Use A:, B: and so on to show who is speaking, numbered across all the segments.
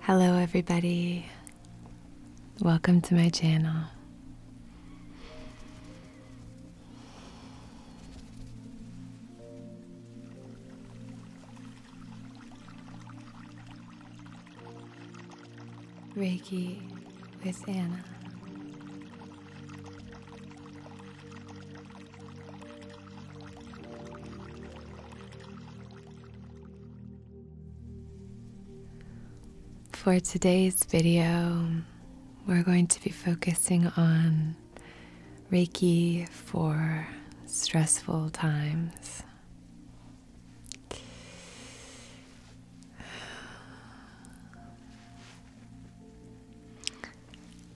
A: Hello, everybody. Welcome to my channel. Reiki with Anna. For today's video, we're going to be focusing on Reiki for stressful times.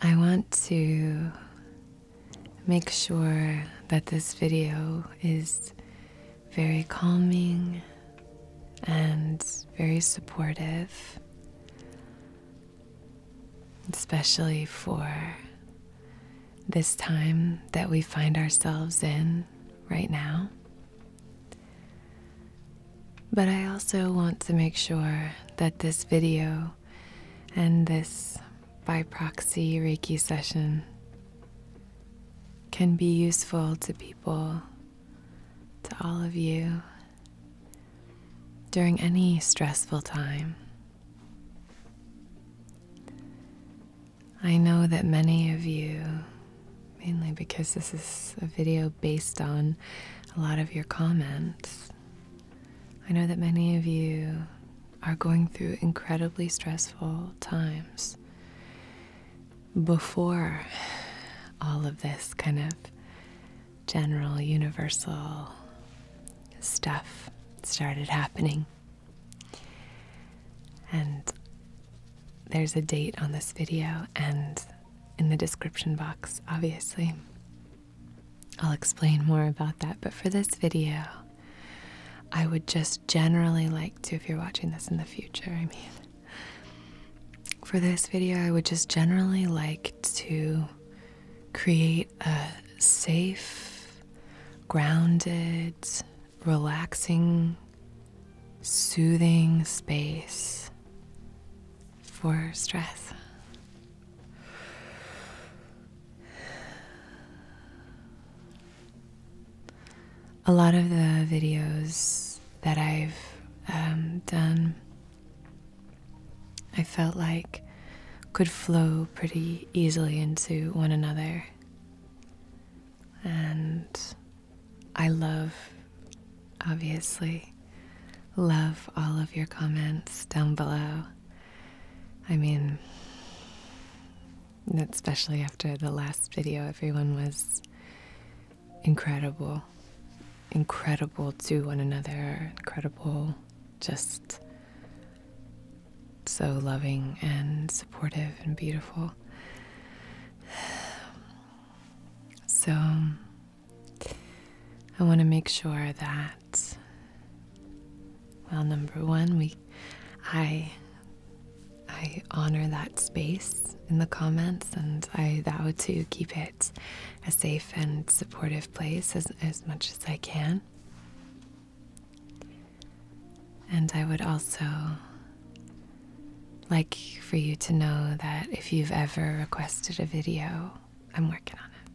A: I want to make sure that this video is very calming and very supportive, especially for this time that we find ourselves in right now. But I also want to make sure that this video and this by proxy Reiki session can be useful to people, to all of you, during any stressful time. I know that many of you, mainly because this is a video based on a lot of your comments, I know that many of you are going through incredibly stressful times before all of this kind of general, universal stuff started happening. And there's a date on this video and in the description box, obviously. I'll explain more about that, but for this video, I would just generally like to, if you're watching this in the future, I mean, for this video, I would just generally like to create a safe, grounded, relaxing, soothing space for stress. A lot of the videos that I've um, done, I felt like could flow pretty easily into one another. And I love, obviously, Love all of your comments down below. I mean, especially after the last video, everyone was incredible. Incredible to one another, incredible, just so loving and supportive and beautiful. So, I want to make sure that, well, number one, we, I, I honor that space in the comments, and I vow to keep it a safe and supportive place as, as much as I can. And I would also like for you to know that if you've ever requested a video, I'm working on it.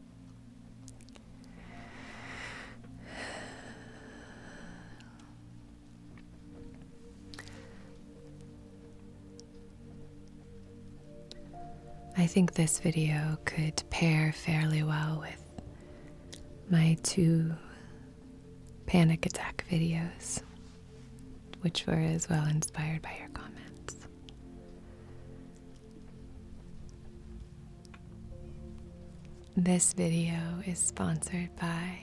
A: I think this video could pair fairly well with my two panic attack videos, which were as well inspired by your comments. This video is sponsored by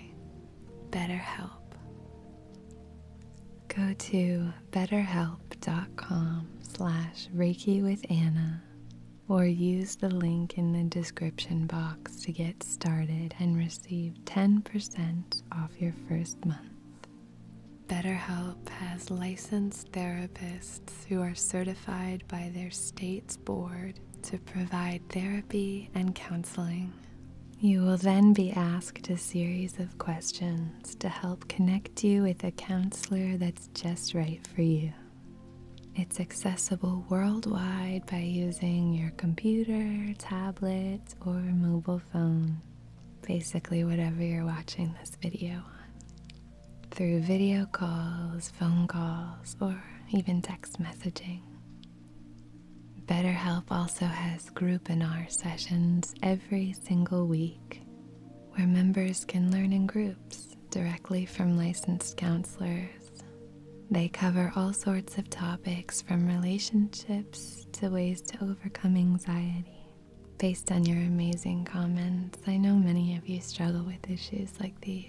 A: BetterHelp. Go to betterhelp.com slash Reiki with Anna or use the link in the description box to get started and receive 10% off your first month. BetterHelp has licensed therapists who are certified by their state's board to provide therapy and counseling. You will then be asked a series of questions to help connect you with a counselor that's just right for you. It's accessible worldwide by using your computer, tablet, or mobile phone, basically, whatever you're watching this video on through video calls, phone calls, or even text messaging. BetterHelp also has group and R sessions every single week where members can learn in groups directly from licensed counselors. They cover all sorts of topics from relationships to ways to overcome anxiety. Based on your amazing comments, I know many of you struggle with issues like these.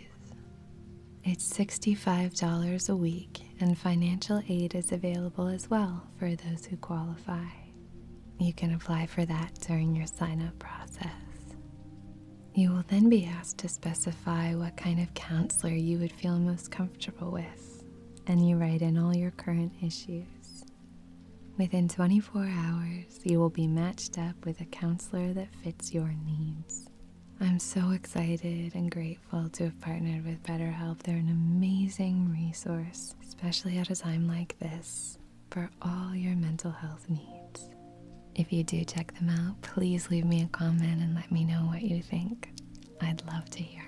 A: It's $65 a week, and financial aid is available as well for those who qualify. You can apply for that during your sign up process. You will then be asked to specify what kind of counselor you would feel most comfortable with, and you write in all your current issues. Within 24 hours, you will be matched up with a counselor that fits your needs. I'm so excited and grateful to have partnered with BetterHelp. They're an amazing resource, especially at a time like this, for all your mental health needs. If you do check them out, please leave me a comment and let me know what you think. I'd love to hear.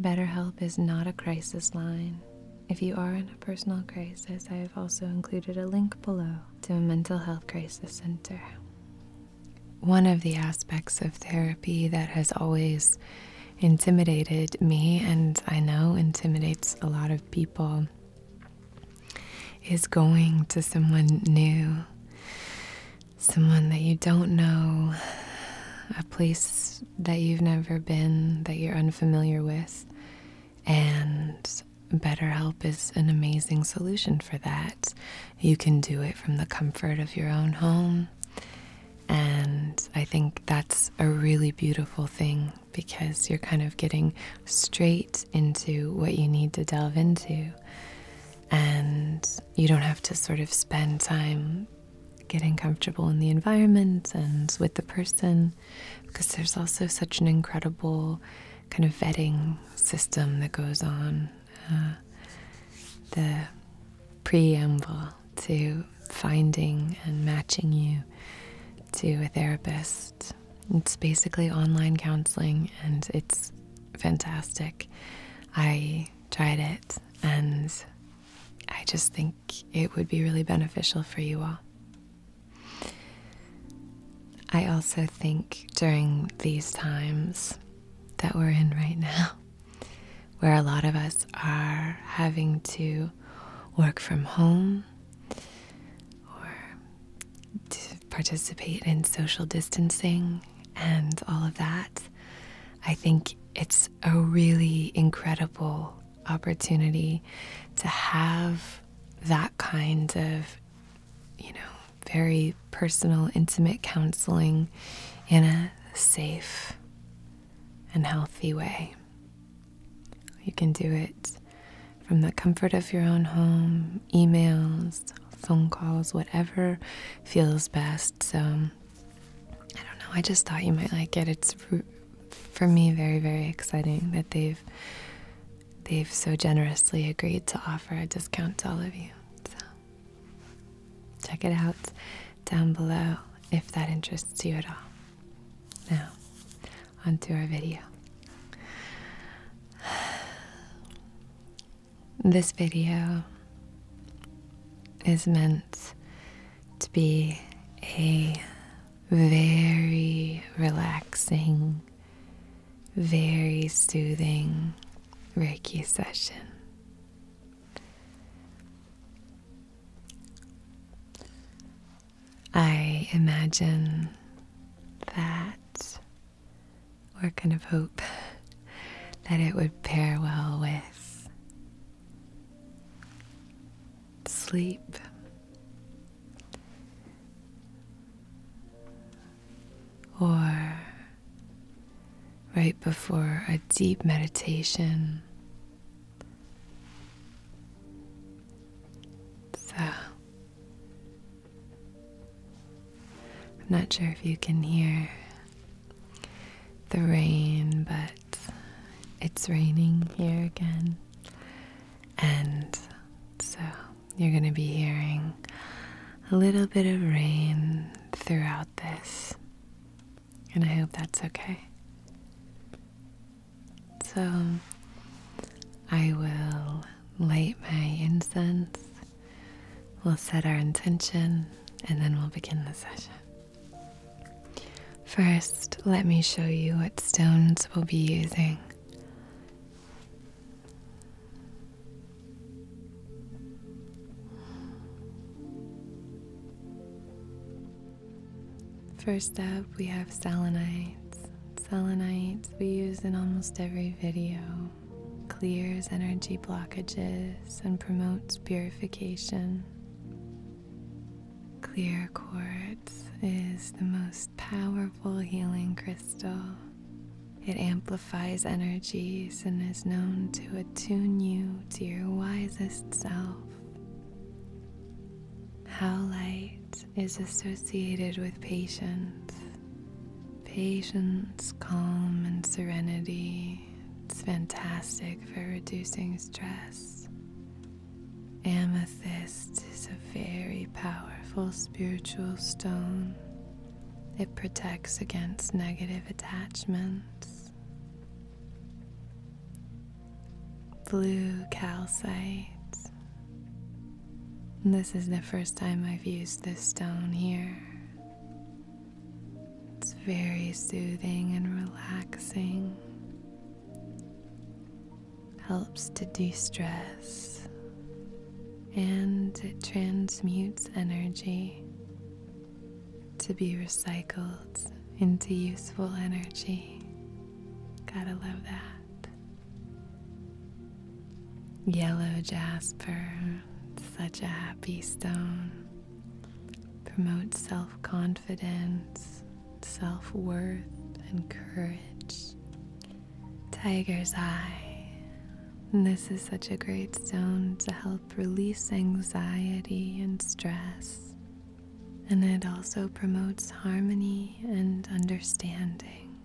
A: BetterHelp is not a crisis line. If you are in a personal crisis, I have also included a link below to a mental health crisis center. One of the aspects of therapy that has always intimidated me, and I know intimidates a lot of people, is going to someone new, someone that you don't know, a place that you've never been, that you're unfamiliar with. And BetterHelp is an amazing solution for that. You can do it from the comfort of your own home. And I think that's a really beautiful thing because you're kind of getting straight into what you need to delve into. And you don't have to sort of spend time getting comfortable in the environment and with the person because there's also such an incredible kind of vetting system that goes on. Uh, the preamble to finding and matching you to a therapist. It's basically online counseling and it's fantastic. I tried it and I just think it would be really beneficial for you all. I also think during these times that we're in right now, where a lot of us are having to work from home or participate in social distancing and all of that, I think it's a really incredible opportunity to have that kind of, you know, very personal, intimate counseling in a safe and healthy way. You can do it from the comfort of your own home, emails, phone calls, whatever feels best. So, I don't know, I just thought you might like it. It's for me very very exciting that they've they've so generously agreed to offer a discount to all of you. So check it out down below if that interests you at all. Now, on to our video. This video is meant to be a very relaxing, very soothing Reiki session. I imagine that, or kind of hope, that it would pair well with sleep. Or right before a deep meditation. So, I'm not sure if you can hear the rain, but it's raining here again. And so you're going to be hearing a little bit of rain throughout this. And I hope that's okay. So I will light my incense, we'll set our intention, and then we'll begin the session. First, let me show you what stones we'll be using. First up, we have selenites. Selenites we use in almost every video. Clears energy blockages and promotes purification. Clear quartz is the most powerful healing crystal. It amplifies energies and is known to attune you to your wisest self. How light is associated with patience. Patience, calm, and serenity. It's fantastic for reducing stress. Amethyst is a very powerful spiritual stone. It protects against negative attachments. Blue calcite. This is the first time I've used this stone here. It's very soothing and relaxing helps to de stress and it transmutes energy to be recycled into useful energy. Gotta love that. Yellow jasper, such a happy stone, promotes self confidence self worth, and courage. Tiger's Eye. This is such a great stone to help release anxiety and stress, and it also promotes harmony and understanding.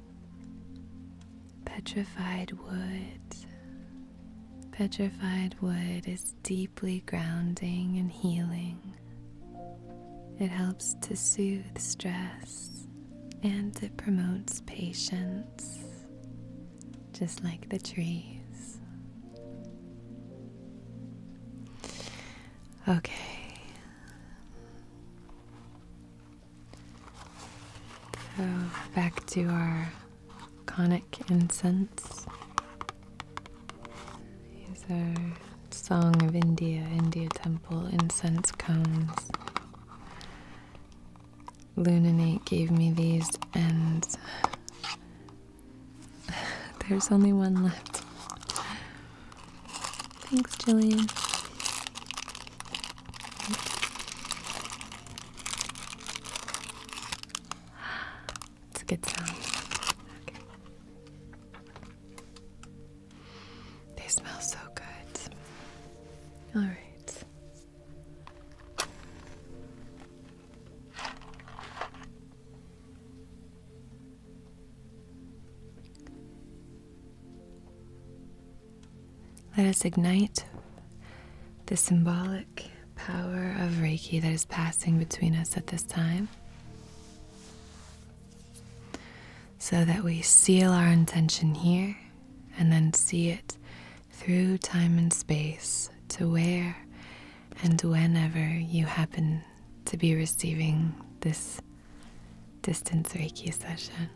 A: Petrified Wood. Petrified wood is deeply grounding and healing. It helps to soothe stress and it promotes patience, just like the trees. Okay. So back to our conic incense. These are Song of India, India Temple, incense cones. Lunanate gave me these, and there's only one left. Thanks, Jillian. It's a good sound. They smell so good. All right. Let us ignite the symbolic power of Reiki that is passing between us at this time so that we seal our intention here and then see it through time and space to where and whenever you happen to be receiving this distance Reiki session.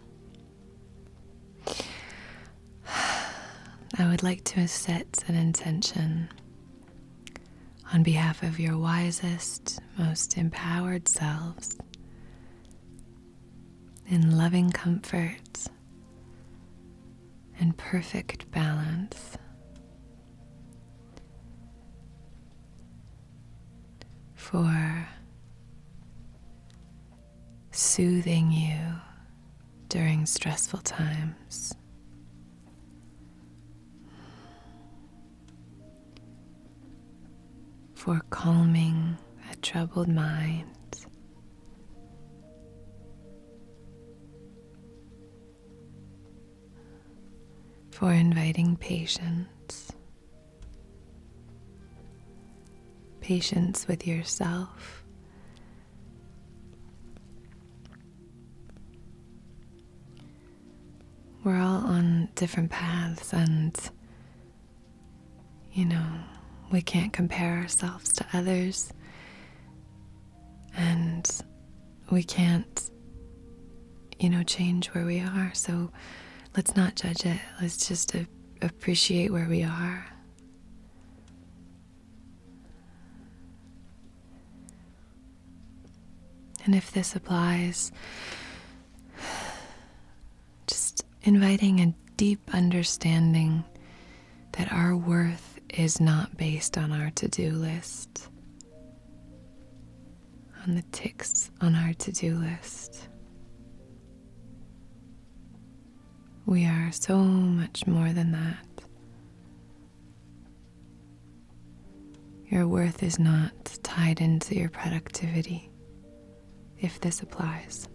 A: I would like to set an intention on behalf of your wisest, most empowered selves in loving comfort and perfect balance. For soothing you during stressful times for calming a troubled mind. For inviting patience, patience with yourself, we're all on different paths, and you know, we can't compare ourselves to others, and we can't, you know, change where we are. So let's not judge it, let's just appreciate where we are. And if this applies Just inviting a deep understanding that our worth is not based on our to do list, on the ticks on our to do list. We are so much more than that. Your worth is not tied into your productivity, if this applies.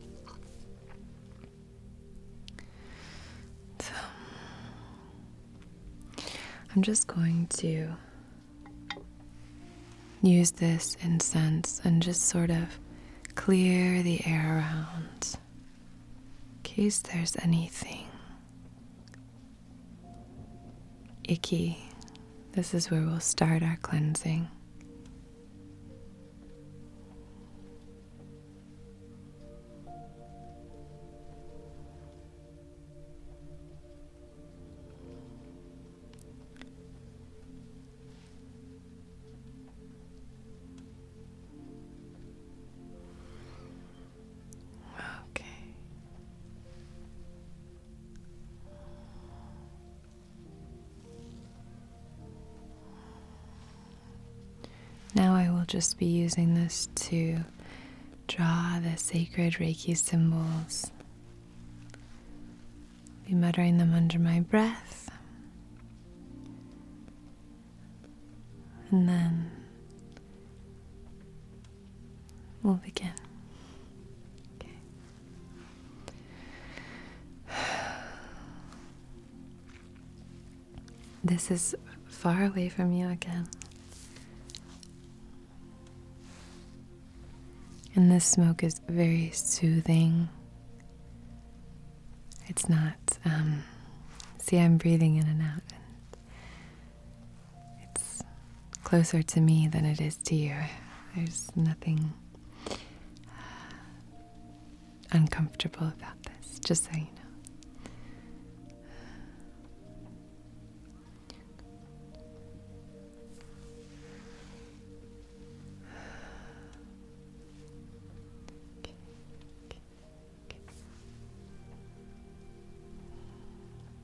A: I'm just going to use this incense and just sort of clear the air around in case there's anything icky. This is where we'll start our cleansing. Okay. Now I will just be using this to draw the sacred Reiki symbols. Be muttering them under my breath. And then we'll begin. Okay. This is far away from you again. And this smoke is very soothing. It's not, um, see, I'm breathing in and out, it's closer to me than it is to you. There's nothing uh, uncomfortable about this, just so you know.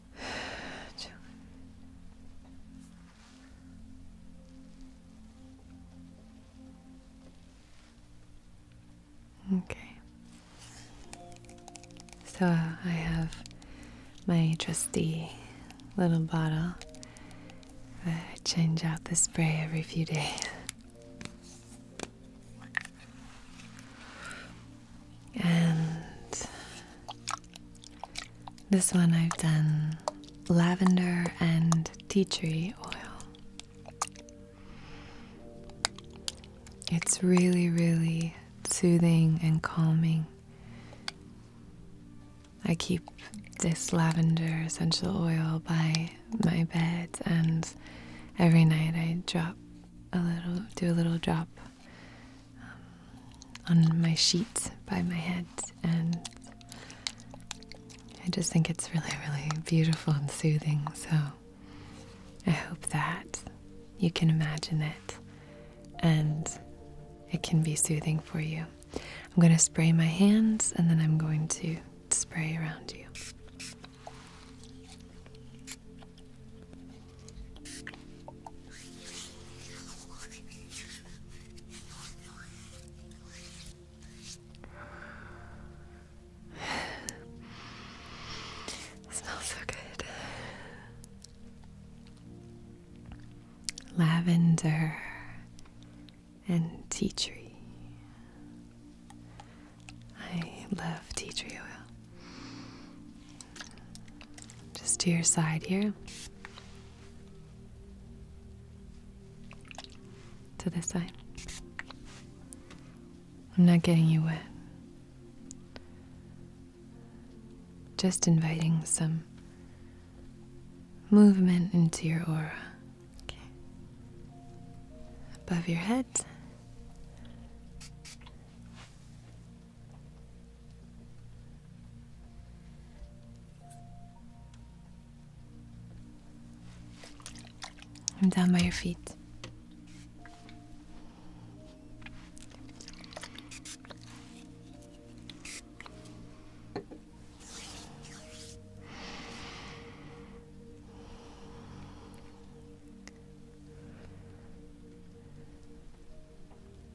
A: Okay. So I have my trusty little bottle. I change out the spray every few days. And this one I've done lavender and tea tree oil. It's really, really soothing and calming. I keep this lavender essential oil by my bed, and every night I drop a little, do a little drop um, on my sheet by my head, and I just think it's really, really beautiful and soothing. So I hope that you can imagine it and it can be soothing for you. I'm going to spray my hands and then I'm going to spray around you. smells so good. Lavender and tea tree. I love tea tree oil. Just to your side here. To this side. I'm not getting you wet. Just inviting some movement into your aura. Above your head. I'm down by your feet.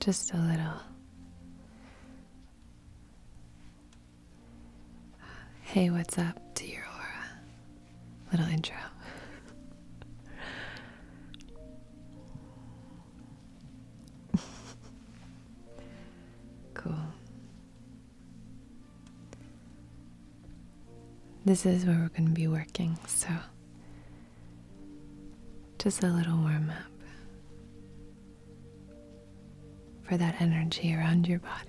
A: Just a little. Hey, what's up to your aura? Little intro. cool. This is where we're going to be working, so just a little warm up for that energy around your body.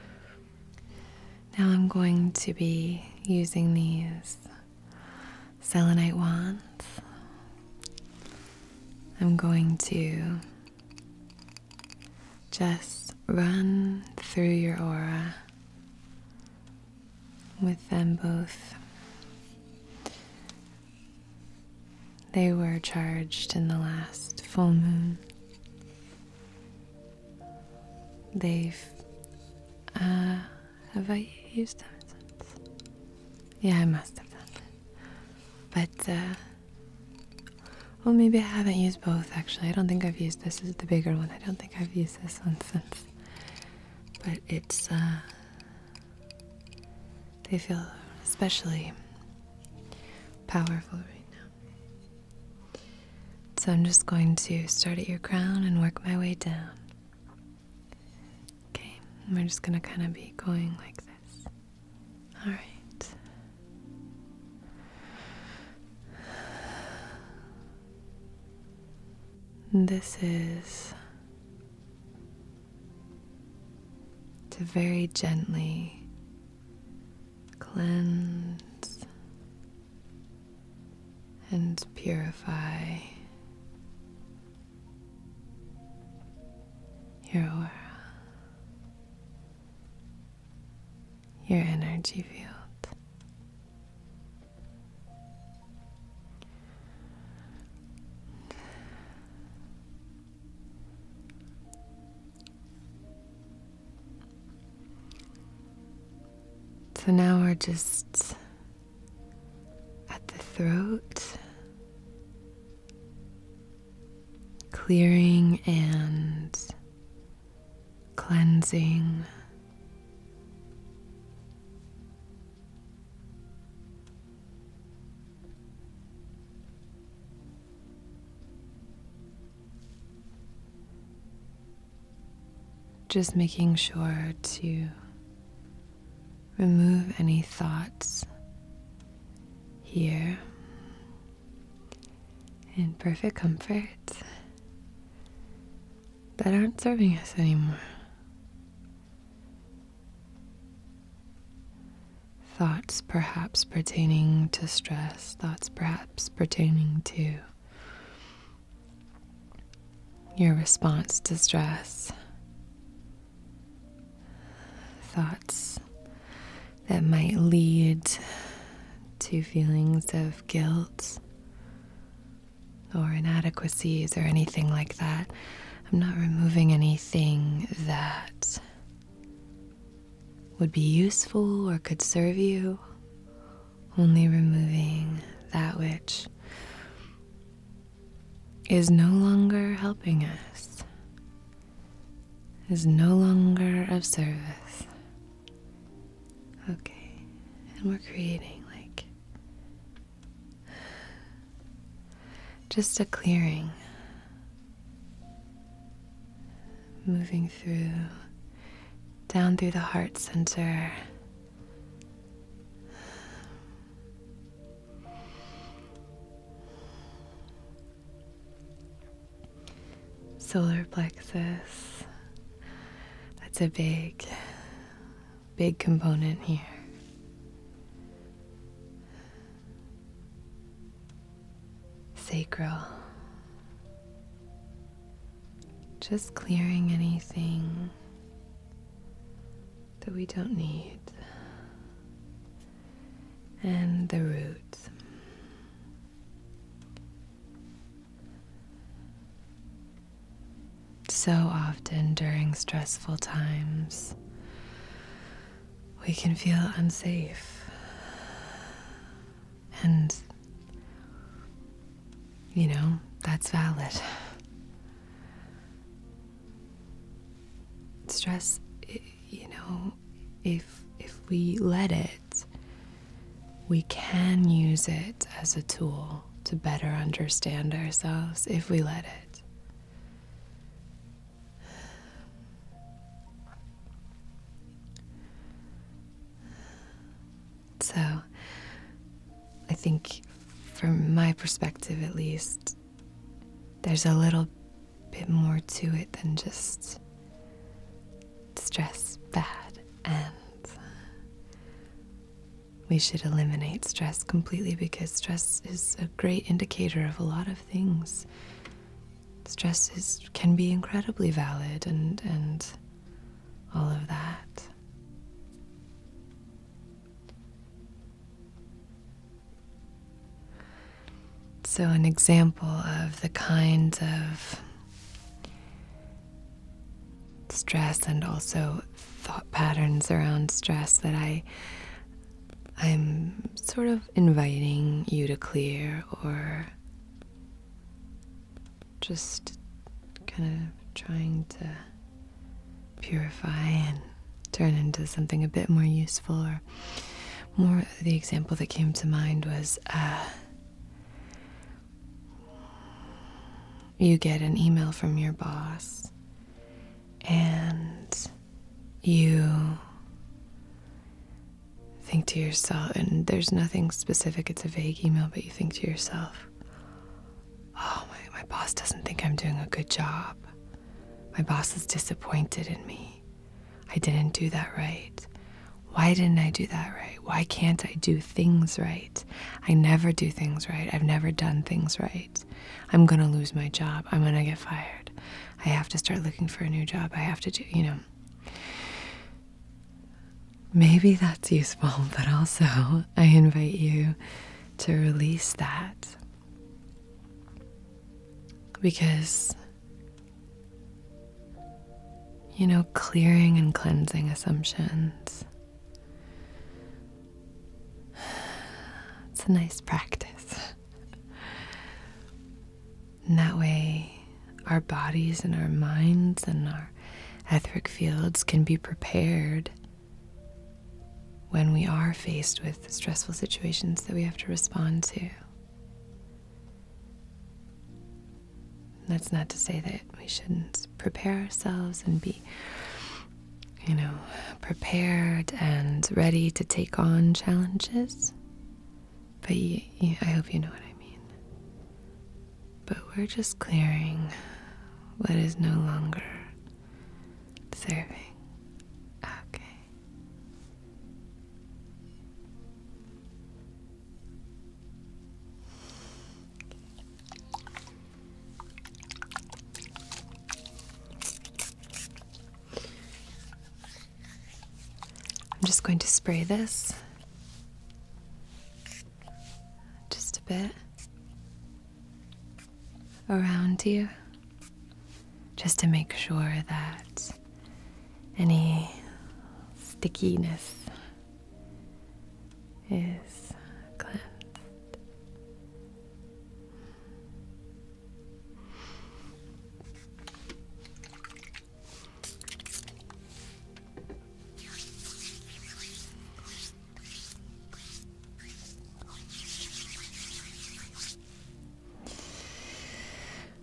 A: now I'm going to be using these selenite wands. I'm going to just run through your aura with them both. They were charged in the last full moon. They've. Uh, have I used them since? Yeah, I must have done that. But, uh. Well, maybe I haven't used both actually. I don't think I've used this Is the bigger one. I don't think I've used this one since. But it's, uh. They feel especially powerful right now. So I'm just going to start at your crown and work my way down. Okay, we're just going to kind of be going like that. All right. This is to very gently cleanse and purify your aura, your energy field. So now we're just at the throat clearing and cleansing. Just making sure to Remove any thoughts here in perfect comfort that aren't serving us anymore. Thoughts perhaps pertaining to stress, thoughts perhaps pertaining to your response to stress, thoughts that might lead to feelings of guilt or inadequacies or anything like that. I'm not removing anything that would be useful or could serve you, only removing that which is no longer helping us is no longer of service. Okay, and we're creating like just a clearing, moving through down through the heart center solar plexus. That's a big, big component here. Sacral. Just clearing anything that we don't need and the roots. So often during stressful times, we can feel unsafe and you know, that's valid. Stress you know, if if we let it, we can use it as a tool to better understand ourselves if we let it. So, I think from my perspective at least, there's a little bit more to it than just stress bad, and uh, we should eliminate stress completely because stress is a great indicator of a lot of things. Stress is, can be incredibly valid and, and all of that. So, an example of the kinds of stress and also thought patterns around stress that I I'm sort of inviting you to clear or just kind of trying to purify and turn into something a bit more useful more the example that came to mind was uh, you get an email from your boss and you think to yourself and there's nothing specific it's a vague email but you think to yourself oh my boss doesn't think i'm doing a good job my boss is disappointed in me I didn't do that right. Why didn't I do that right? Why can't I do things right? I never do things right. I've never done things right. I'm going to lose my job. I'm going to get fired. I have to start looking for a new job. I have to do, you know. Maybe that's useful, but also I invite you to release that because, you know, clearing and cleansing assumptions. It's a nice practice. And that way, our bodies and our minds and our etheric fields can be prepared when we are faced with stressful situations that we have to respond to. That's not to say that we shouldn't prepare ourselves and be, you know, prepared and ready to take on challenges. But I hope you know what I mean. But we're just clearing what is no longer serving. Okay. I'm just going to spray this just a bit around here just to make sure that any stickiness is cleansed.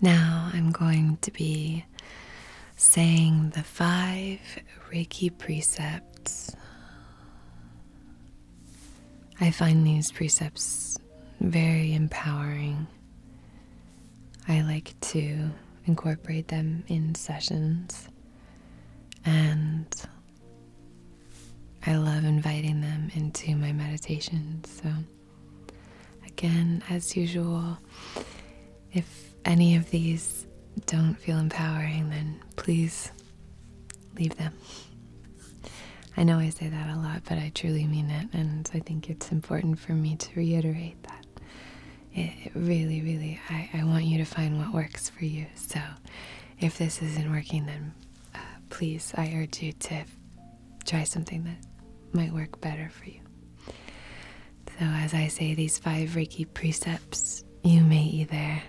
A: Now I'm going to be saying the five Reiki precepts. I find these precepts very empowering. I like to incorporate them in sessions and I love inviting them into my meditations. So Again, as usual, if any of these don't feel empowering, then please leave them. I know I say that a lot, but I truly mean it, and I think it's important for me to reiterate that. It, really, really, I, want you to find what works for you. So if this isn't working, then uh, please, I urge you to try something that might work better for you. So, as I say these five Reiki precepts, you may either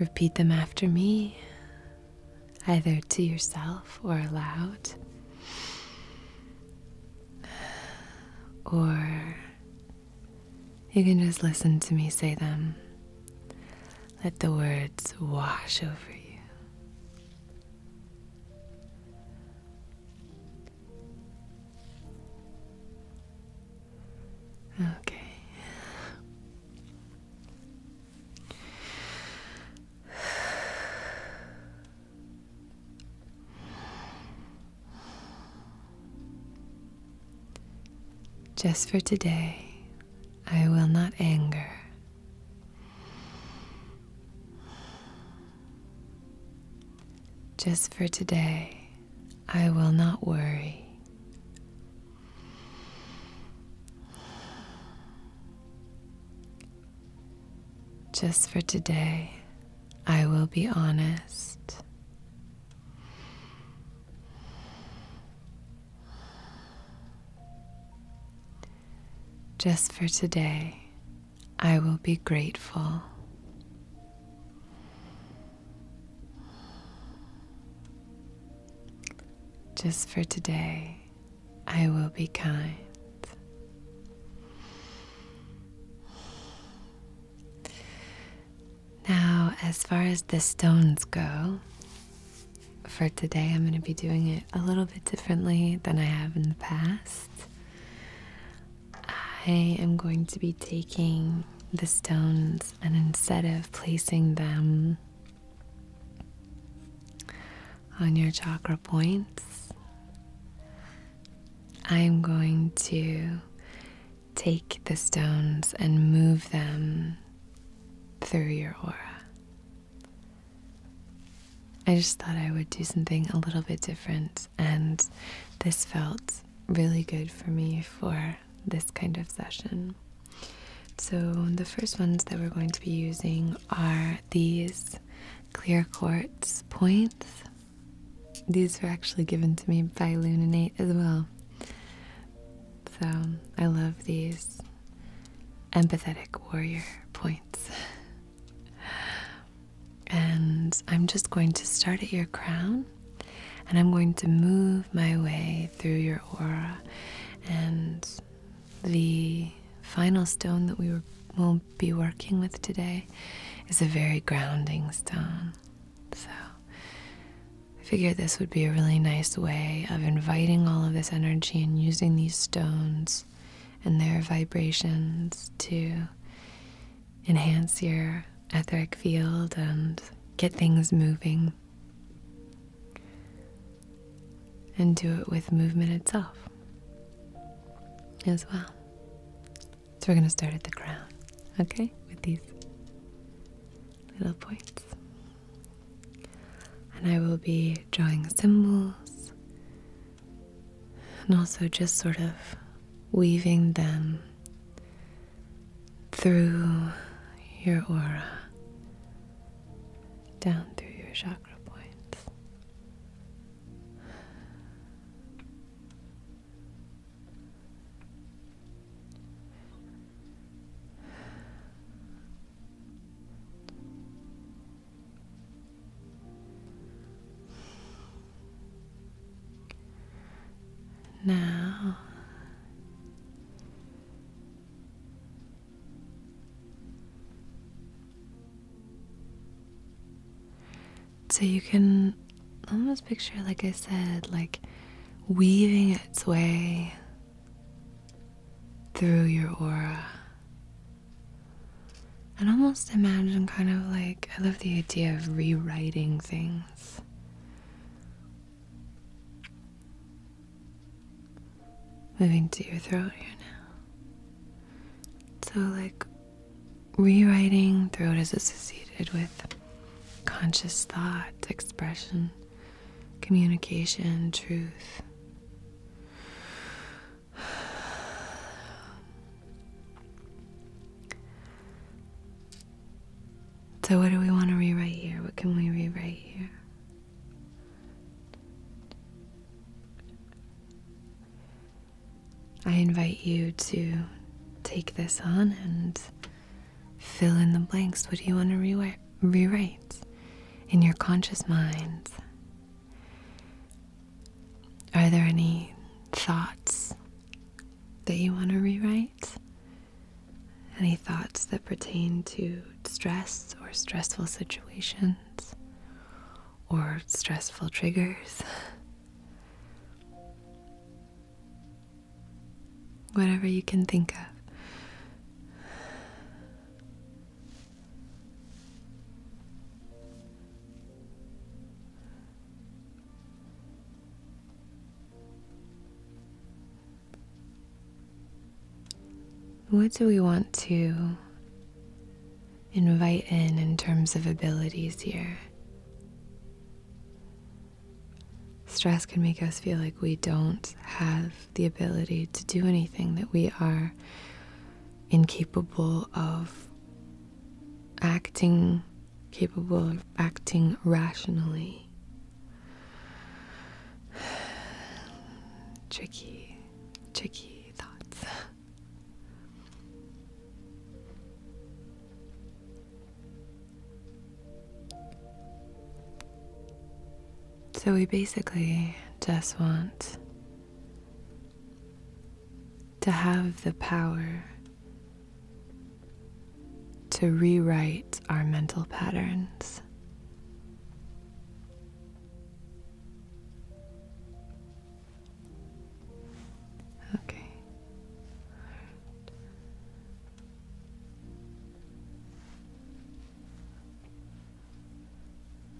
A: repeat them after me, either to yourself or aloud, or you can just listen to me say them. Let the words wash over you. Okay. Just for today, I will not anger just for today, I will not worry. Just for today, I will be honest. Just for today, I will be grateful. Just for today, I will be kind. Now, as far as the stones go, for today I'm going to be doing it a little bit differently than I have in the past. I am going to be taking the stones and instead of placing them on your chakra points, I'm going to take the stones and move them through your aura. I just thought I would do something a little bit different, and this felt really good for me for this kind of session. So, the first ones that we're going to be using are these clear quartz points. These were actually given to me by Lunanate as well. So, I love these empathetic warrior points. And I'm just going to start at your crown and I'm going to move my way through your aura. And the final stone that we will be working with today is a very grounding stone. So I figured this would be a really nice way of inviting all of this energy and using these stones cells and their vibrations to enhance your etheric field and get things moving. And do it with movement itself as well. So we're going to start at the crown, okay? With these little points. And I will be drawing symbols and also just sort of weaving them through your aura, down through your chakra points. Now so you can almost picture like I said like weaving its way through your aura and almost imagine kind of like I love the idea of rewriting things. Moving to your throat here now. So, like, rewriting throat is associated with conscious thought, expression, communication, truth. So, what do we want to rewrite here? What can we rewrite here? I invite you to take this on and fill in the blanks. What do you want to re rewrite in your conscious minds. Are there any thoughts that you want to rewrite? Any thoughts that pertain to stress or stressful situations or stressful triggers? Whatever you can think of. What do we want to invite in in terms of abilities here? Stress can make us feel like we don't have the ability to do anything, that we are incapable of acting, capable of acting rationally. tricky, tricky thoughts. So we basically just want to have the power to rewrite our mental patterns. Okay.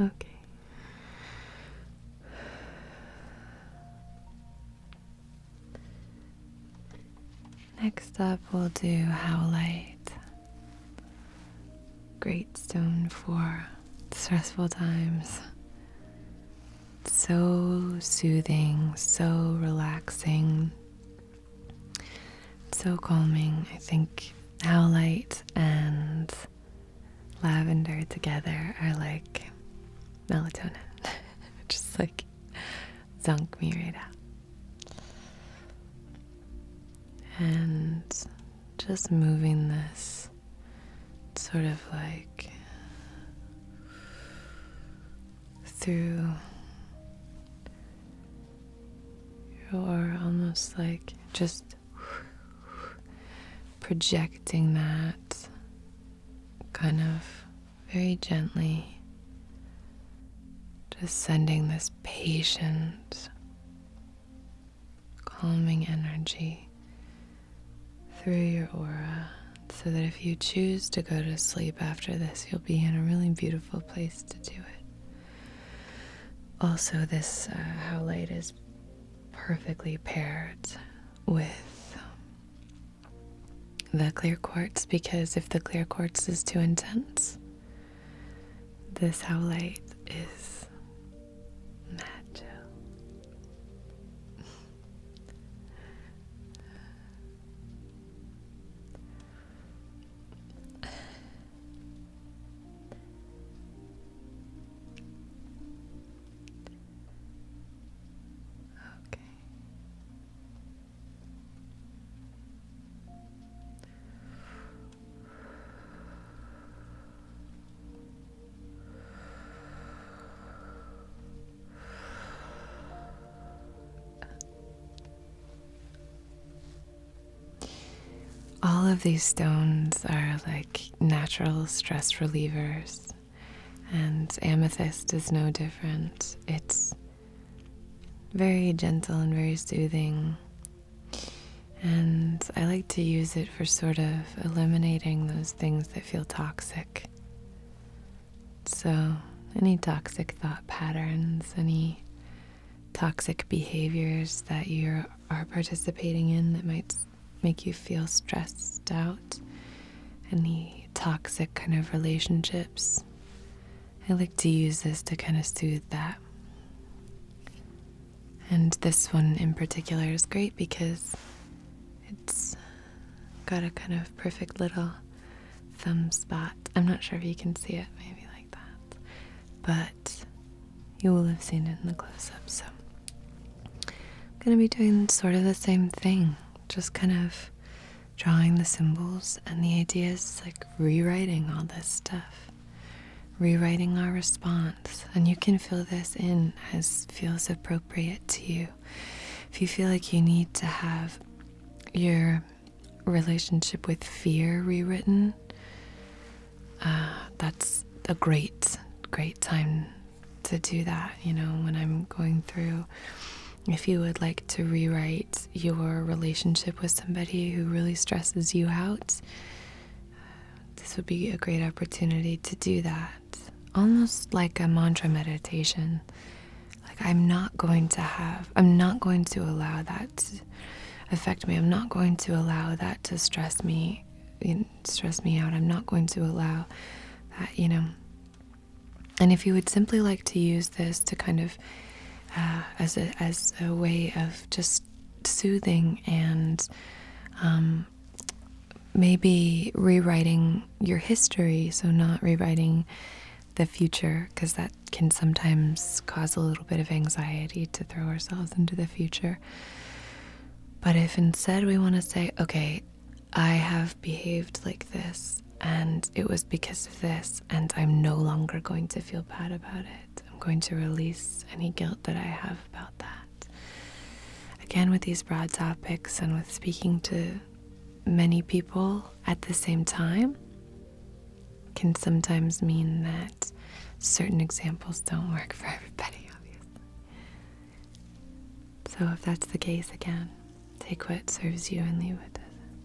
A: Okay. Next up, we'll do Howlite. Great stone for stressful times. So soothing, so relaxing, so calming. I think how light and lavender together are like melatonin. Just like zunk me right out. And just moving this sort of like through your almost like just projecting that kind of very gently, just sending this patient, calming energy through your aura so that if you choose to go to sleep after this, you'll be in a really beautiful place to do it. Also, this uh, how light is perfectly paired with um, the clear quartz because if the clear quartz is too intense, this how light is magic okay. Uh, all of these stones are like natural stress relievers, and amethyst is no different. It's very gentle and very soothing. And I like to use it for sort of eliminating those things that feel toxic. So, any toxic thought patterns, any toxic behaviors that you are participating in that might make you feel stressed out, any toxic kind of relationships, I like to use this to kind of soothe that. And this one in particular is great because it's got a kind of perfect little thumb spot. I'm not sure if you can see it, maybe like that, but you will have seen it in the close up. So, I'm gonna be doing sort of the same thing, just kind of drawing the symbols, and the ideas, like rewriting all this stuff, rewriting our response. And you can fill this in as feels appropriate to you. If you feel like you need to have your relationship with fear rewritten, uh, that's a great, great time to do that. You know, when I'm going through, if you would like to rewrite your relationship with somebody who really stresses you out, this would be a great opportunity to do that. Almost like a mantra meditation. Like, I'm not going to have, I'm not going to allow that to affect me. I'm not going to allow that to stress me, stress me out. I'm not going to allow that, you know. And if you would simply like to use this to kind of, uh, as a as a way of just soothing and um, maybe rewriting your history, so not rewriting the future because that can sometimes cause a little bit of anxiety to throw ourselves into the future. But if instead we want to say, okay, I have behaved like this and it was because of this, and I'm no longer going to feel bad about it, I'm going to release any guilt that I have about that. Again, with these broad topics and with speaking to many people at the same time, can sometimes mean that certain examples don't work for everybody, obviously. So, if that's the case, again, take what serves you and leave what doesn't.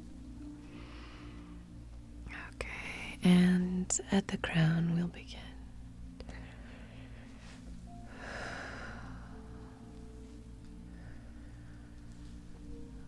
A: Okay, and at the crown, we'll begin.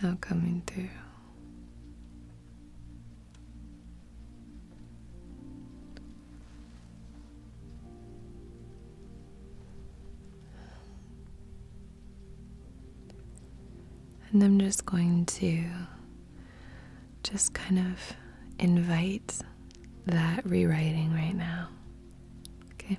A: Now coming to, And I'm just going to just kind of invite that rewriting right now. Okay.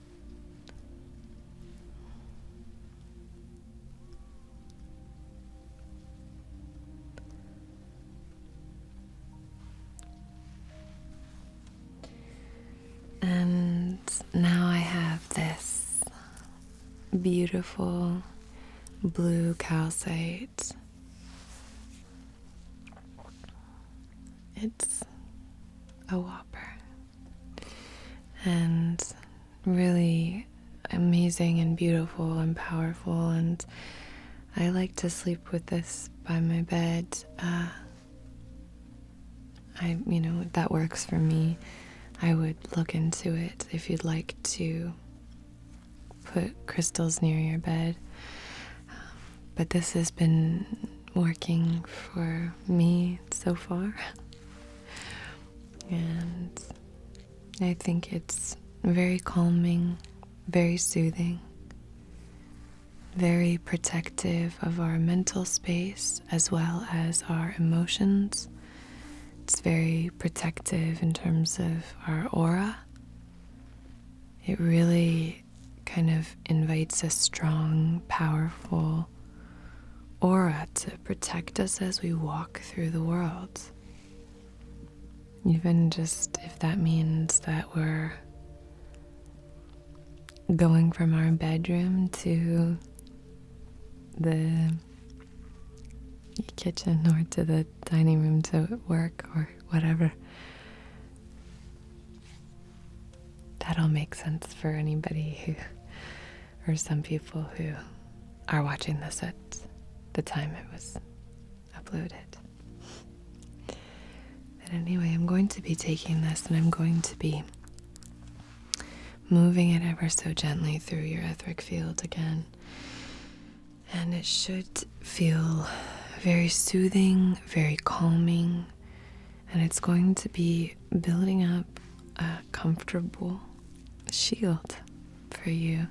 A: And now I have this beautiful blue calcite it's a whopper. And really amazing and beautiful and powerful. And I like to sleep with this by my bed. Uh, I, you know, that works for me, I would look into it if you'd like to put crystals near your bed. Um, but this has been working for me so far. and I think it's very calming, very soothing, very protective of our mental space as well as our emotions. It's very protective in terms of our aura. It really kind of invites a strong, powerful aura to protect us as we walk through the world. Even just if that means that we're going from our bedroom to the kitchen or to the dining room to work or whatever. That'll make sense for anybody who, or some people who are watching this at the time it was uploaded. But anyway, I'm going to be taking this and I'm going to be moving it ever so gently through your etheric field again. And it should feel very soothing, very calming, and it's going to be building up a comfortable shield for you.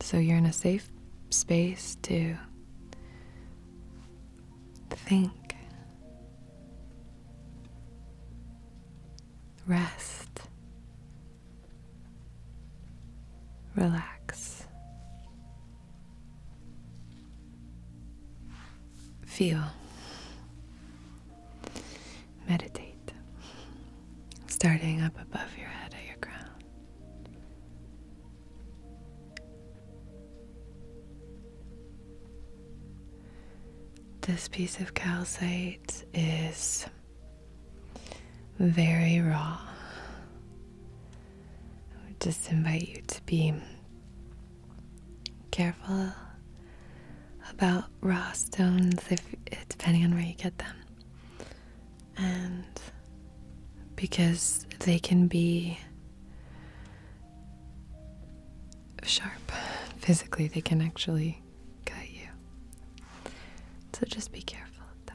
A: So you're in a safe space to think, rest, relax. Feel. Meditate. Starting up above your head at your crown. This piece of calcite is very raw. I would just invite you to be careful about raw stones depending on where you get them. And because they can be sharp physically, they can actually cut you. So just be careful of that.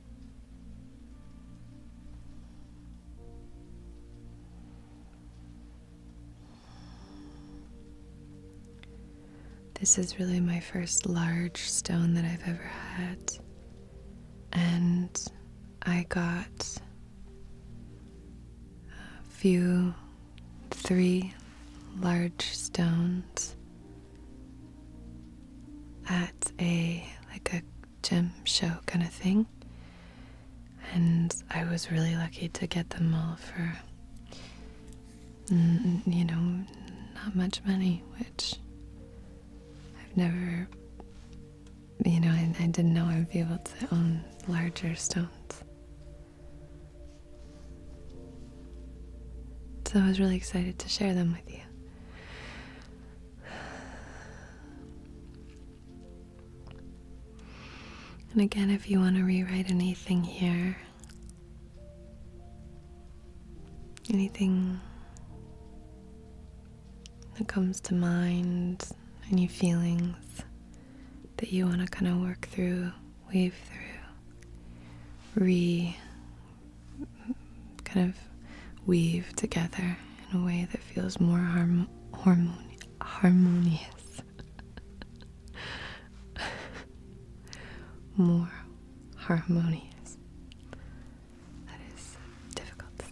A: This is really my first large stone that I've ever had. And I got a few, three large stones at a like a gym show kind of thing. And I was really lucky to get them all for, you know, not much money, which I've never, you know, I, I didn't know I'd be able to own larger stones. So I was really excited to share them with you. And again, if you want to rewrite anything here, anything that comes to mind, any feelings that you want to kind of work through, weave through, re kind of weave together in a way that feels more harmonious. more harmonious. That is difficult to say.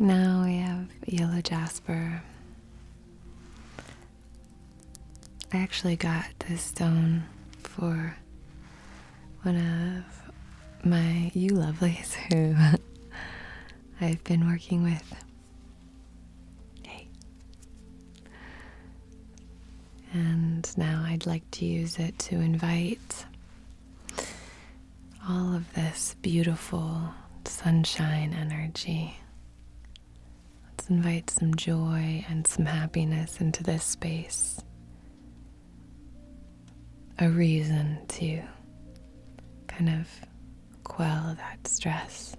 A: now we have yellow jasper. I actually got this stone for one of my you lovelies who I've been working with. And now I'd like to use it to invite all of this beautiful sunshine energy. Let's invite some joy and some happiness into this space. A reason to kind of quell that stress,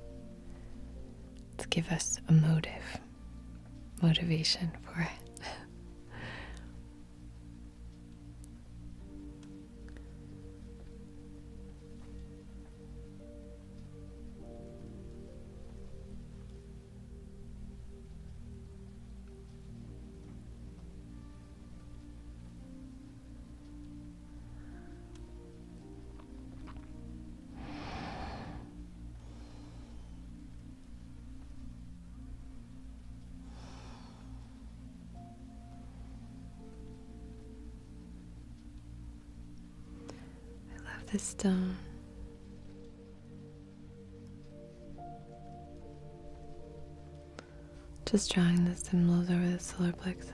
A: to give us a motive, motivation for it. I love this stone. Just drawing the symbols over the solar plexus.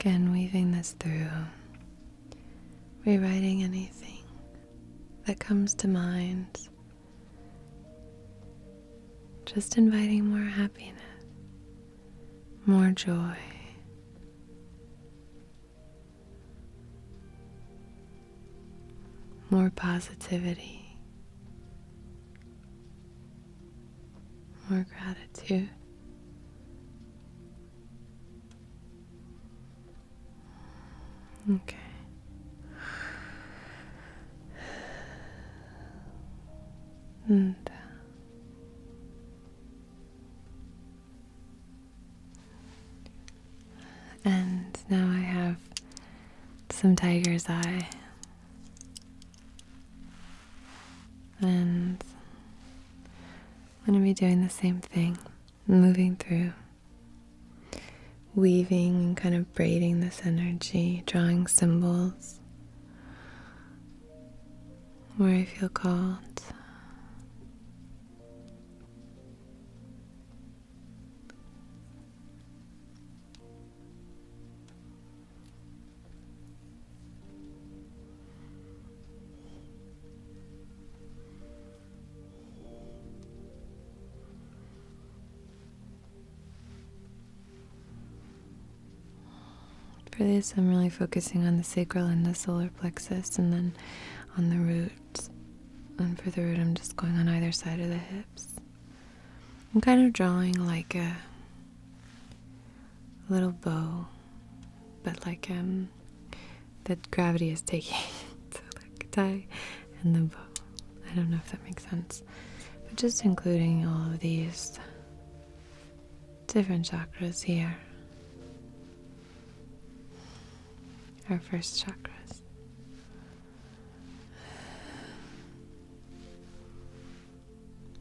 A: Again, weaving this through, rewriting anything that comes to mind just inviting more happiness, more joy. More positivity, more gratitude, okay. Uh, and now I have some tiger's eye and I'm going to be doing the same thing moving through weaving and kind of braiding this energy drawing symbols place where I feel called. For this, I'm really focusing on the sacral and the solar plexus, and then on the root. And for the root, I'm just going on either side of the hips. I'm kind of drawing like a little bow, but like um, that gravity is taking. so like tie and the bow. I don't know if that makes sense. But just including all of these different chakras here. Our first chakras.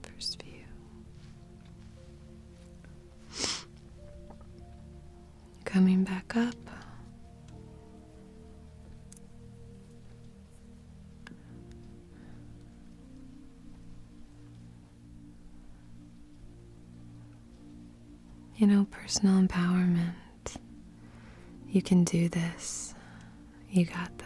A: First view. Coming back up. You know, personal empowerment. You can do this. You got this.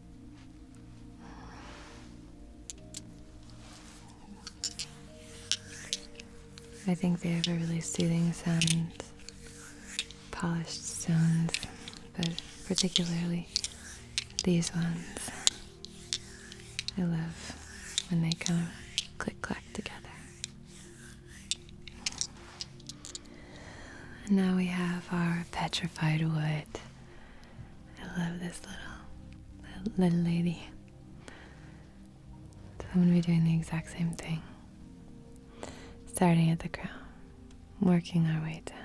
A: I think they have a really soothing sound, polished stones, but particularly these ones. I love when they come click clack together. And now we have our petrified wood I love this little, little lady. So I'm going to be doing the exact same thing. Starting at the crown, working our way down.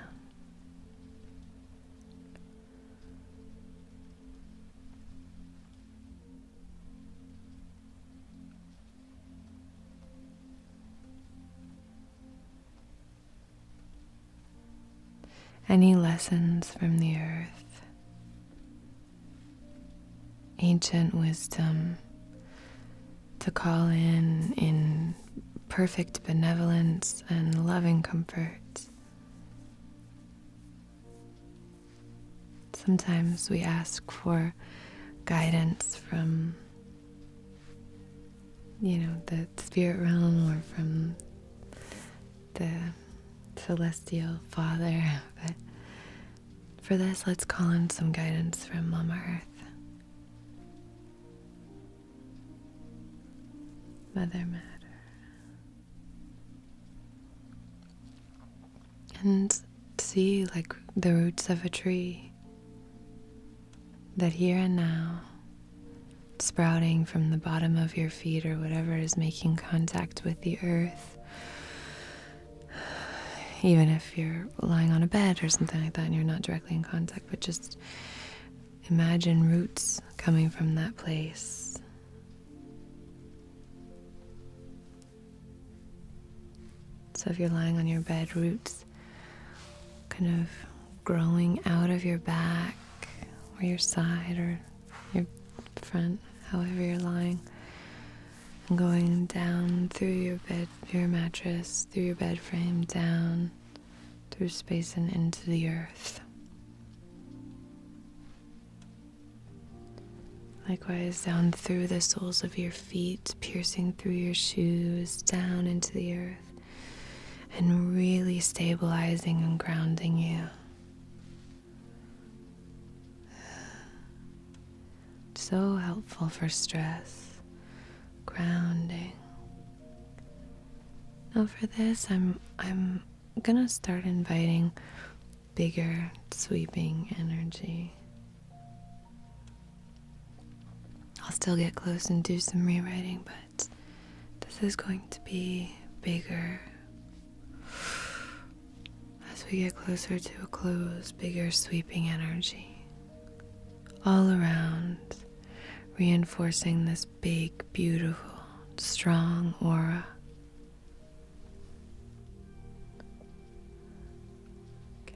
A: Any lessons from the earth, ancient wisdom to call in in perfect benevolence and loving comfort. Sometimes we ask for guidance from you know, the spirit realm or from the celestial father. But for this, let's call in some guidance from Mother Earth, Mother Matter. And see, like, the roots of a tree that here and now, sprouting from the bottom of your feet or whatever is making contact with the earth, even if you're lying on a bed or something like that and you're not directly in contact, but just imagine roots coming from that place. So if you're lying on your bed, roots kind of growing out of your back or your side or your front, however you're lying, and going down through your bed, your mattress, through your bed frame, down through space and into the earth. Likewise, down through the soles of your feet, piercing through your shoes, down into the earth and really stabilizing and grounding you. So helpful for stress, grounding. Now for this, I'm I'm gonna start inviting bigger sweeping energy. I'll still get close and do some rewriting, but this is going to be bigger as we get closer to a close, bigger sweeping energy all around, reinforcing this big, beautiful, strong aura. Okay,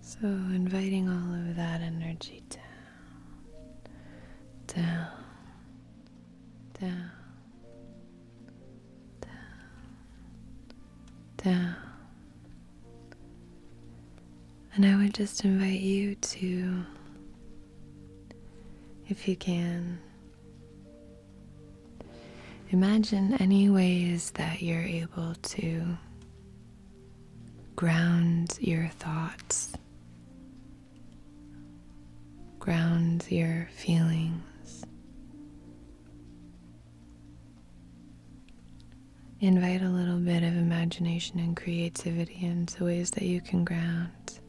A: So, inviting all of that energy down, down, down, down, down, and I would just invite you to, if you can, imagine any ways that you're able to ground your thoughts, ground your feelings. Invite a little bit of imagination and creativity into ways that you can ground.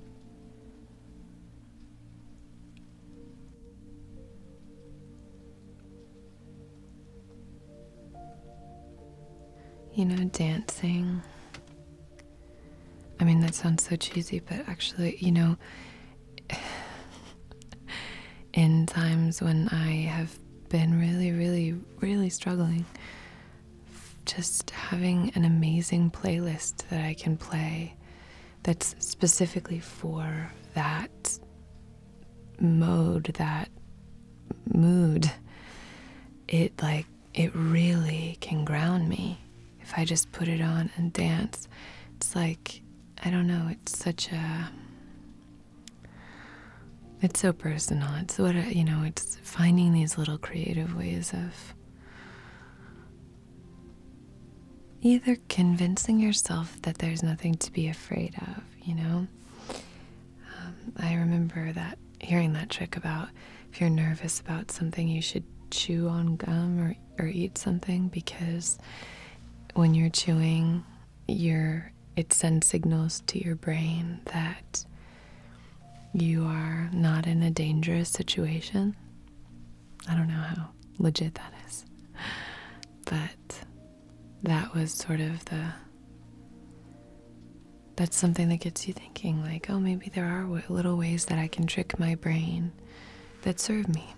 A: You know, dancing. I mean, that sounds so cheesy, but actually, you know, in times when I have been really, really, really struggling just having an amazing playlist that I can play that's specifically for that mode, that mood. It like it really can ground me if I just put it on and dance. It's like I don't know, it's such a it's so personal. It's what you know. It's finding these little creative ways of either convincing yourself that there's nothing to be afraid of. You know, um, I remember that hearing that trick about if you're nervous about something, you should chew on gum or or eat something because when you're chewing, you're it sends signals to your brain that you are not in a dangerous situation. I don't know how legit that is, but that was sort of the that's something that gets you thinking like, oh, maybe there are little ways that I can trick my brain that serve me.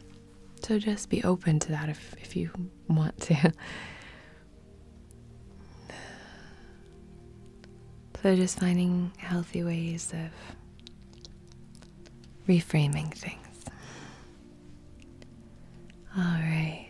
A: So just be open to that if, if you want to. So, just finding healthy ways of reframing things. All right.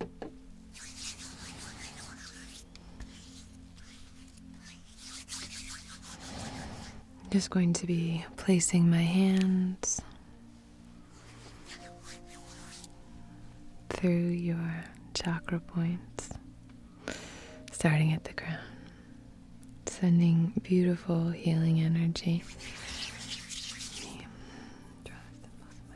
A: I'm just going to be placing my hands through your chakra points, starting at the crown, sending beautiful healing energy.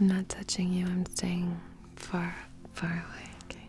A: I'm not touching you, I'm staying far, far away, okay?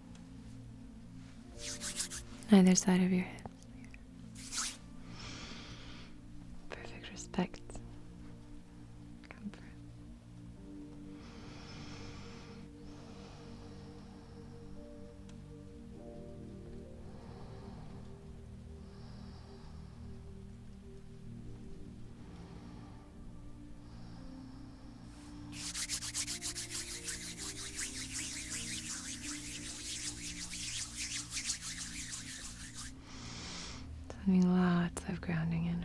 A: Either side of your head. Perfect respect. Comfort. Sending lots of grounding energy.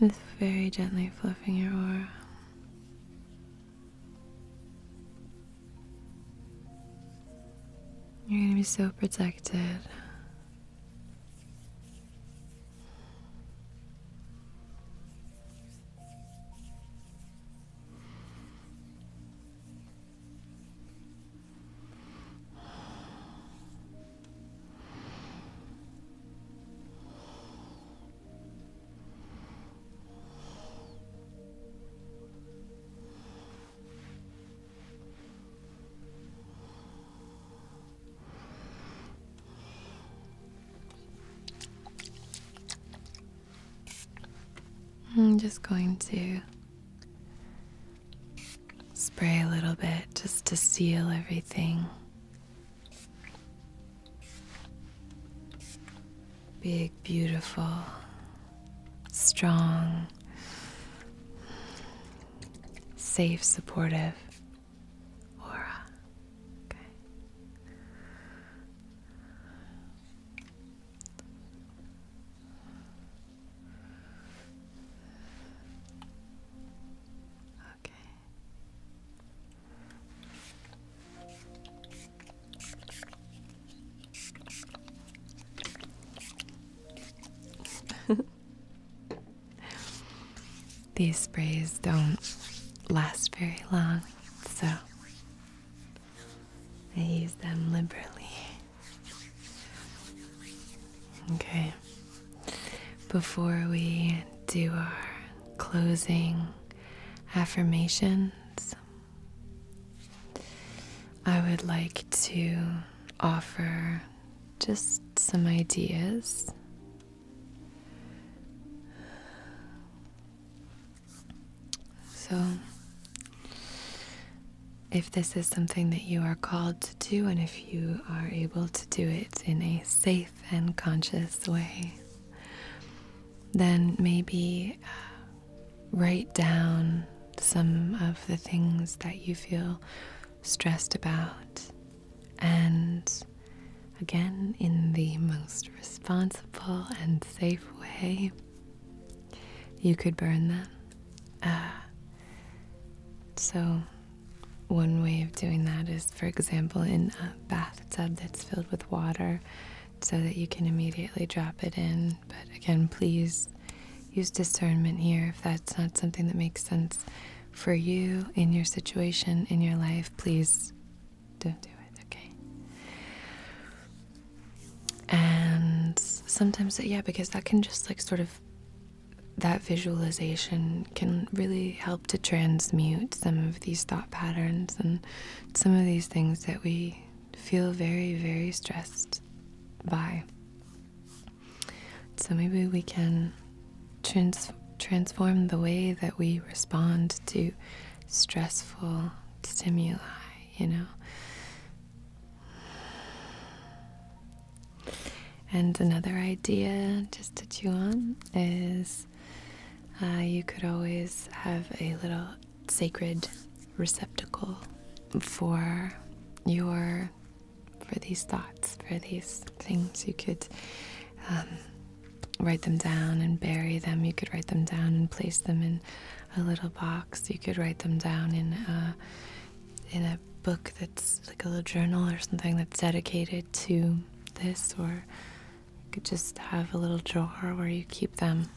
A: Just very gently fluffing your aura. You're going to be so protected. I'm just going to spray a little bit just to seal everything big, beautiful, strong, safe, supportive aura. Okay. Okay. These sprays don't last very long, so I use them liberally. Okay, before we do our closing affirmations, I would like to offer just some ideas. So, if this is something that you are called to do, and if you are able to do it in a safe and conscious way, then maybe uh, write down some of the things that you feel stressed about. And again, in the most responsible and safe way, you could burn them. Uh, so, one way of doing that is, for example, in a bathtub that's filled with water, so that you can immediately drop it in. But again, please use discernment here. If that's not something that makes sense for you in your situation, in your life, please don't do it, okay? And sometimes, yeah, because that can just like sort of that visualization can really help to transmute some of these thought patterns and some of these things that we feel very, very stressed by. So maybe we can transform the way that we respond to stressful stimuli, you know. And another idea just to chew on is uh, you could always have a little sacred receptacle for your for these thoughts for these things you could um, write them down and bury them you could write them down and place them in a little box you could write them down in in a book that's like a little journal or something that's dedicated to this or you could just have a little drawer where you keep them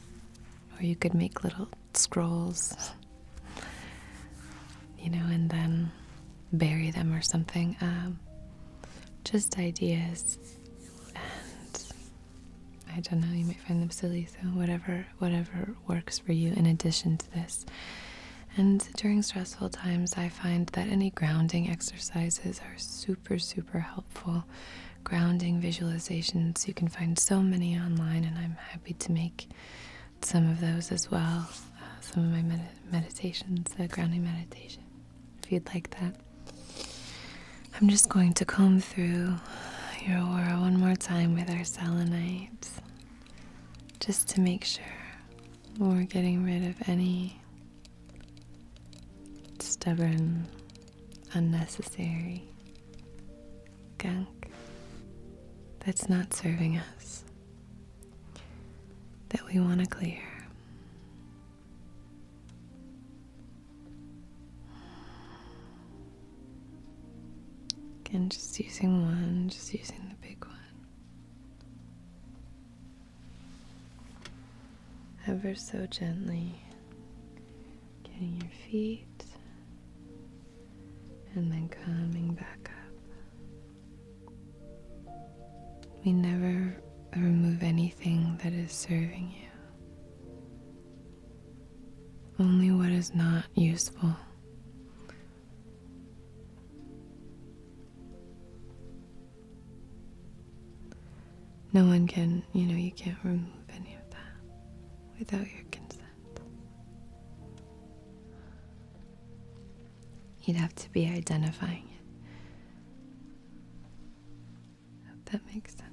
A: or you could make little scrolls, you know, and then bury them or something. Um, just ideas, and I don't know. You might find them silly, so whatever, whatever works for you. In addition to this, and during stressful times, I find that any grounding exercises are super, super helpful grounding visualizations. You can find so many online, and I'm happy to make some of those as well. Uh, some of my meditations, the grounding meditation, if you'd like that. I'm just going to comb through your aura one more time with our selenite, just to make sure we're getting rid of any stubborn unnecessary gunk that's not serving us, that we want to clear. Again, just using one, just using the big one. Ever so gently getting your feet, and then coming back up. We never remove anything that is serving you. Only what is not useful. No one can, you know, you can't remove any of that without your consent. You'd have to be identifying it. that makes sense.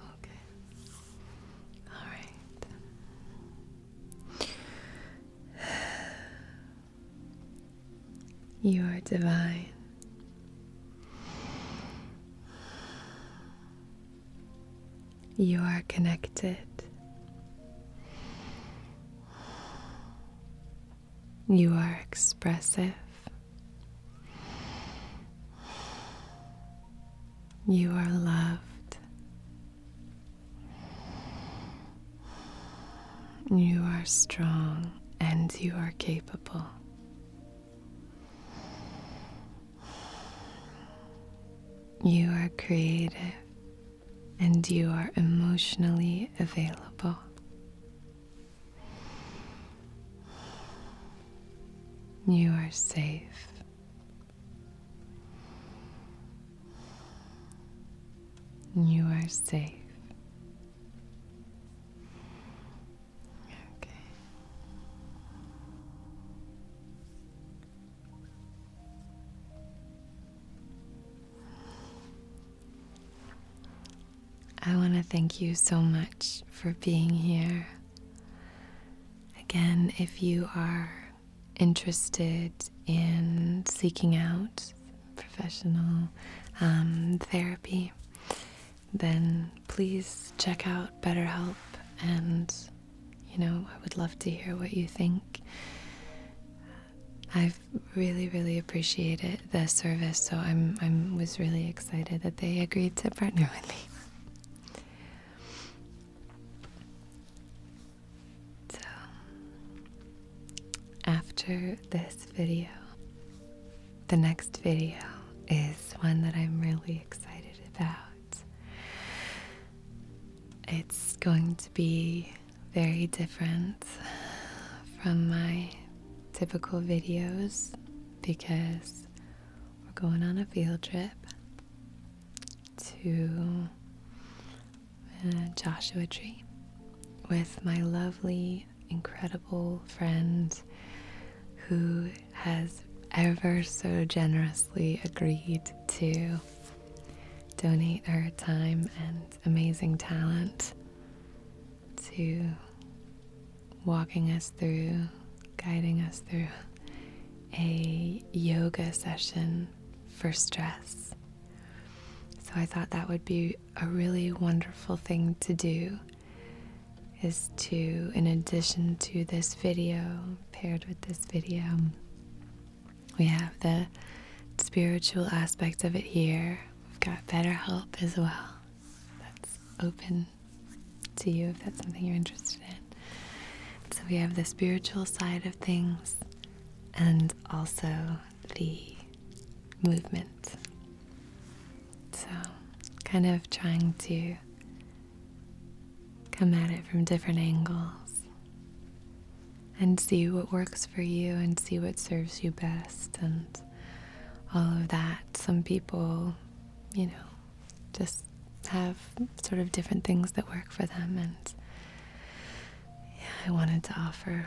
A: Okay. All right. You are divine. You are connected. You are expressive. You are loved. You are strong and you are capable. You are creative and you are emotionally available. You are safe you are safe. Okay. I want to thank you so much for being here. Again, if you are interested in seeking out professional um, therapy, then please check out BetterHelp and you know, I would love to hear what you think. I've really, really appreciated the service, so I'm, I'm was really excited that they agreed to partner with me. So, after this video, the next video is one that I'm really excited about. It's going to be very different from my typical videos because we're going on a field trip to uh, Joshua Tree with my lovely, incredible friend who has ever so generously agreed to donate her time and amazing talent to walking us through, guiding us through a yoga session for stress. So I thought that would be a really wonderful thing to do is to, in addition to this video, paired with this video, we have the spiritual aspect of it here. We've got BetterHelp as well. That's open to you if that's something you're interested in. So we have the spiritual side of things, and also the movement. So, kind of trying to come at it from different angles and see what works for you and see what serves you best and all of that. Some people, you know, just have sort of different things that work for them and yeah, I wanted to offer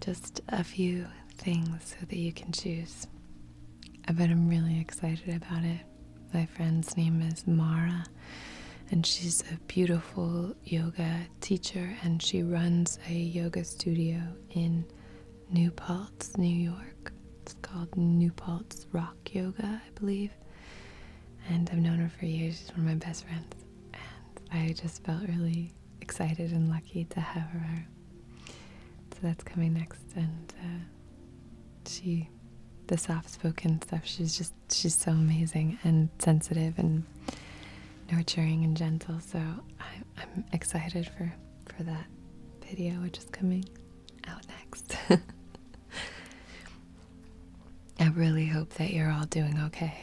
A: just a few things so that you can choose. I bet I'm really excited about it. My friend's name is Mara, and she's a beautiful yoga teacher, and she runs a yoga studio in New Paltz, New York. It's called New Paltz Rock Yoga, I believe. And I've known her for years. She's one of my best friends and I just felt really excited and lucky to have her. So that's coming next, and uh, she, the soft-spoken stuff, she's just she's so amazing and sensitive and nurturing and gentle. So I, am excited for for that video, which is coming out next. I really hope that you're all doing okay.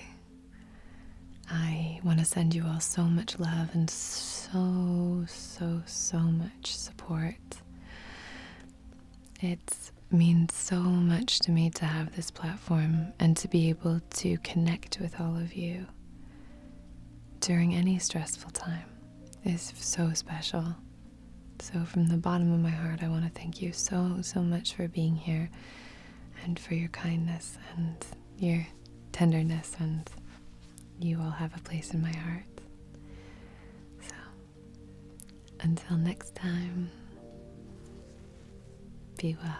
A: I want to send you all so much love and so, so, so much support. It means so much to me to have this platform and to be able to connect with all of you during any stressful time is so special. So, from the bottom of my heart, I want to thank you so, so much for being here and for your kindness and your tenderness, and you will have a place in my heart. So, until next time, be well.